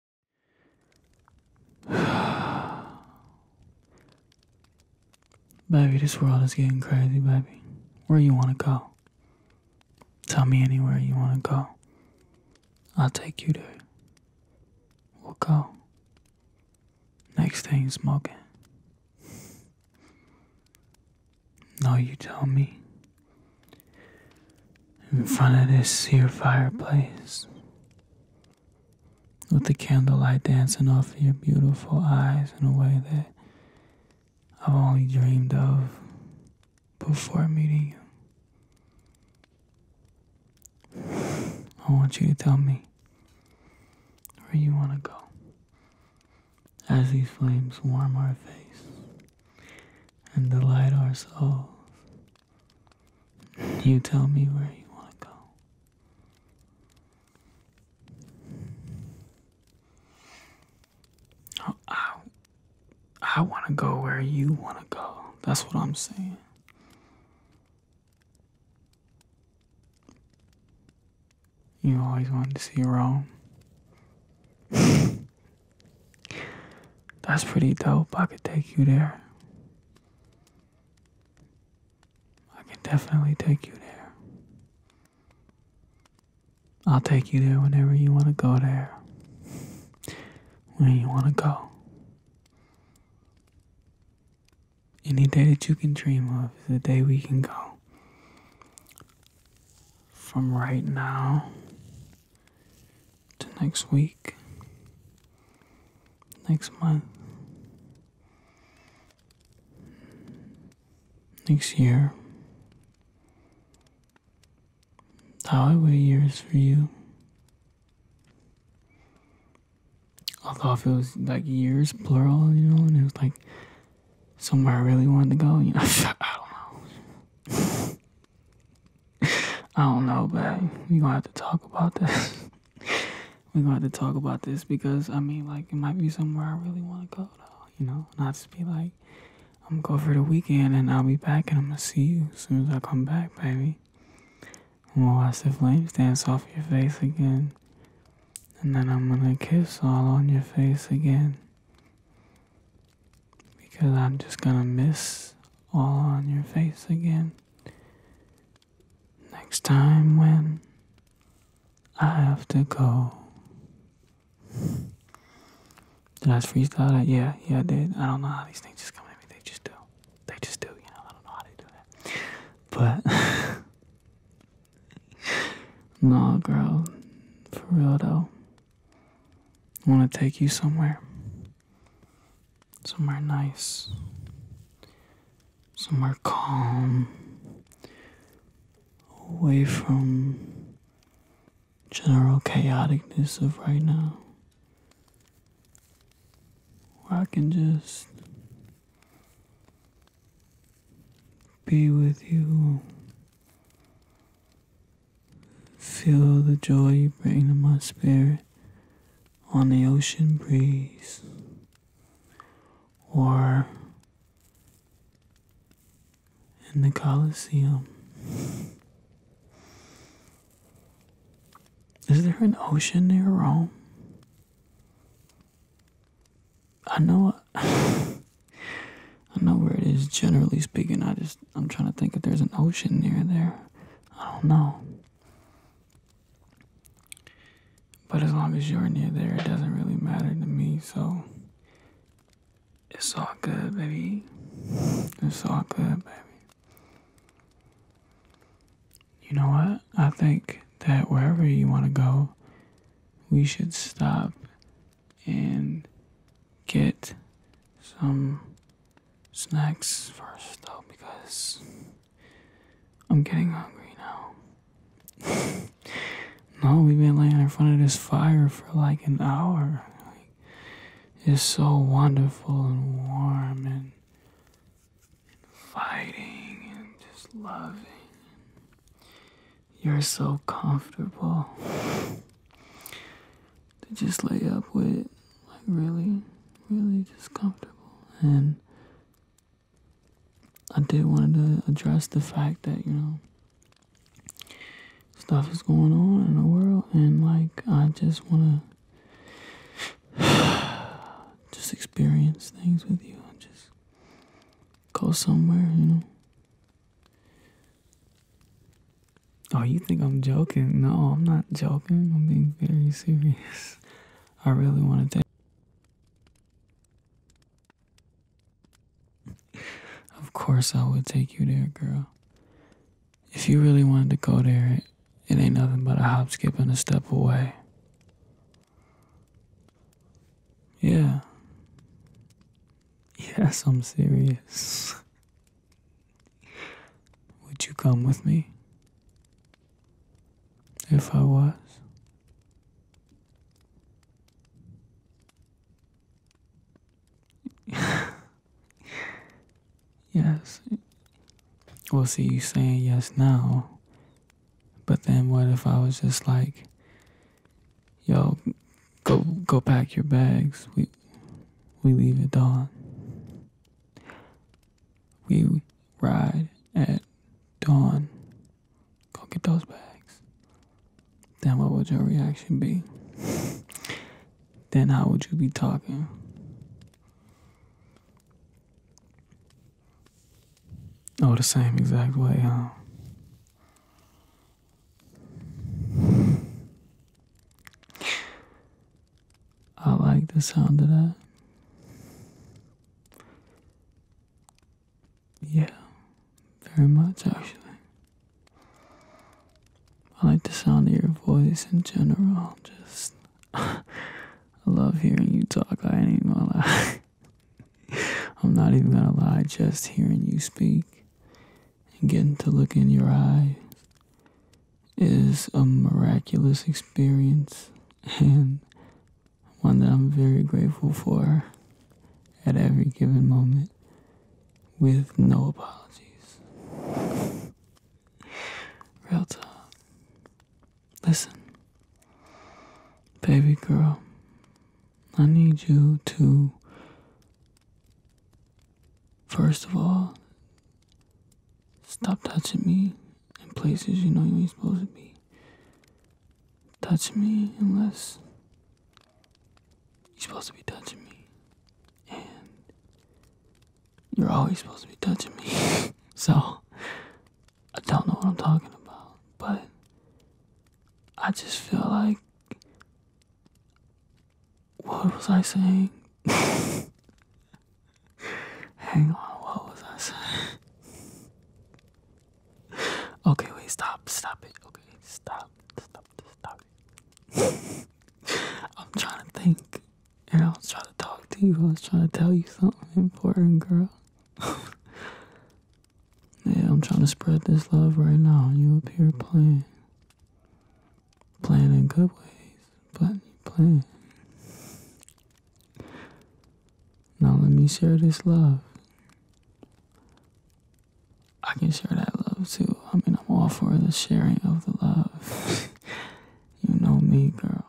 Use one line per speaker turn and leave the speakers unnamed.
baby, this world is getting crazy, baby. Where you wanna go? Tell me anywhere you wanna go. I'll take you there. We'll go. Next thing smoking. Now you tell me in front of this here fireplace with the candlelight dancing off your beautiful eyes in a way that I've only dreamed of before meeting you. I want you to tell me where you want to go as these flames warm our face and delight our souls you tell me where you want to go. Oh, I, I, want to go where you want to go. That's what I'm saying. You always wanted to see Rome. That's pretty dope. I could take you there. I can definitely take you there. I'll take you there whenever you want to go there. When you want to go. Any day that you can dream of is the day we can go. From right now to next week, next month, next year, How I year years for you. Although if it was like years plural, you know, and it was like somewhere I really wanted to go, you know. I don't know, baby. we're gonna have to talk about this. we're gonna have to talk about this because I mean, like, it might be somewhere I really want to go, though, you know, not just be like, I'm gonna go for the weekend and I'll be back and I'm gonna see you as soon as I come back, baby. I'm gonna watch the flames dance off your face again, and then I'm gonna kiss all on your face again because I'm just gonna miss all on your face again. Next time when I have to go. Did I just freestyle that? Yeah, yeah, I did. I don't know how these things just come at me. They just do. They just do, you know. I don't know how they do that. But, no, girl. For real, though. I want to take you somewhere. Somewhere nice. Somewhere calm. Away from general chaoticness of right now. I can just be with you Feel the joy you bring to my spirit on the ocean breeze or in the Colosseum. Is there an ocean near Rome? I know. I know where it is generally speaking. I just I'm trying to think if there's an ocean near there. I don't know. But as long as you're near there, it doesn't really matter to me, so it's all good, baby. It's all good, baby. You know what? I think that wherever you want to go, we should stop and get some snacks first, though, because I'm getting hungry now. no, we've been laying in front of this fire for like an hour. it's so wonderful and warm and fighting and just loving. You're so comfortable to just lay up with, like really, really just comfortable. And I did want to address the fact that you know stuff is going on in the world, and like I just want to just experience things with you and just go somewhere, you know, Oh, you think I'm joking? No, I'm not joking. I'm being very serious. I really want to take. Of course, I would take you there, girl. If you really wanted to go there, it ain't nothing but a hop, skip, and a step away. Yeah. Yes, I'm serious. Would you come with me? If I was? yes. Well, see, you saying yes now, but then what if I was just like, Yo, go go pack your bags. We we leave at dawn. We ride at dawn. Go get those bags. Then what would your reaction be? then how would you be talking? Oh, the same exact way, huh? I like the sound of that. Yeah, very much actually. I like the sound of your voice in general. Just, I love hearing you talk. I ain't gonna lie. I'm not even gonna lie, just hearing you speak and getting to look in your eyes is a miraculous experience and one that I'm very grateful for at every given moment with no apologies. Real talk. Listen, baby girl, I need you to, first of all, stop touching me in places you know you ain't supposed to be. Touch me unless you're supposed to be touching me. And you're always supposed to be touching me. so, I don't know what I'm talking about, but I just feel like what was I saying? Hang on, what was I saying? okay, wait, stop, stop it. Okay, stop, stop, stop it. I'm trying to think. And I was trying to talk to you. I was trying to tell you something important, girl. Yeah, I'm trying to spread this love right now. You up here playing. Playing in good ways, but you playing. Now let me share this love. I can share that love too. I mean, I'm all for the sharing of the love. you know me, girl.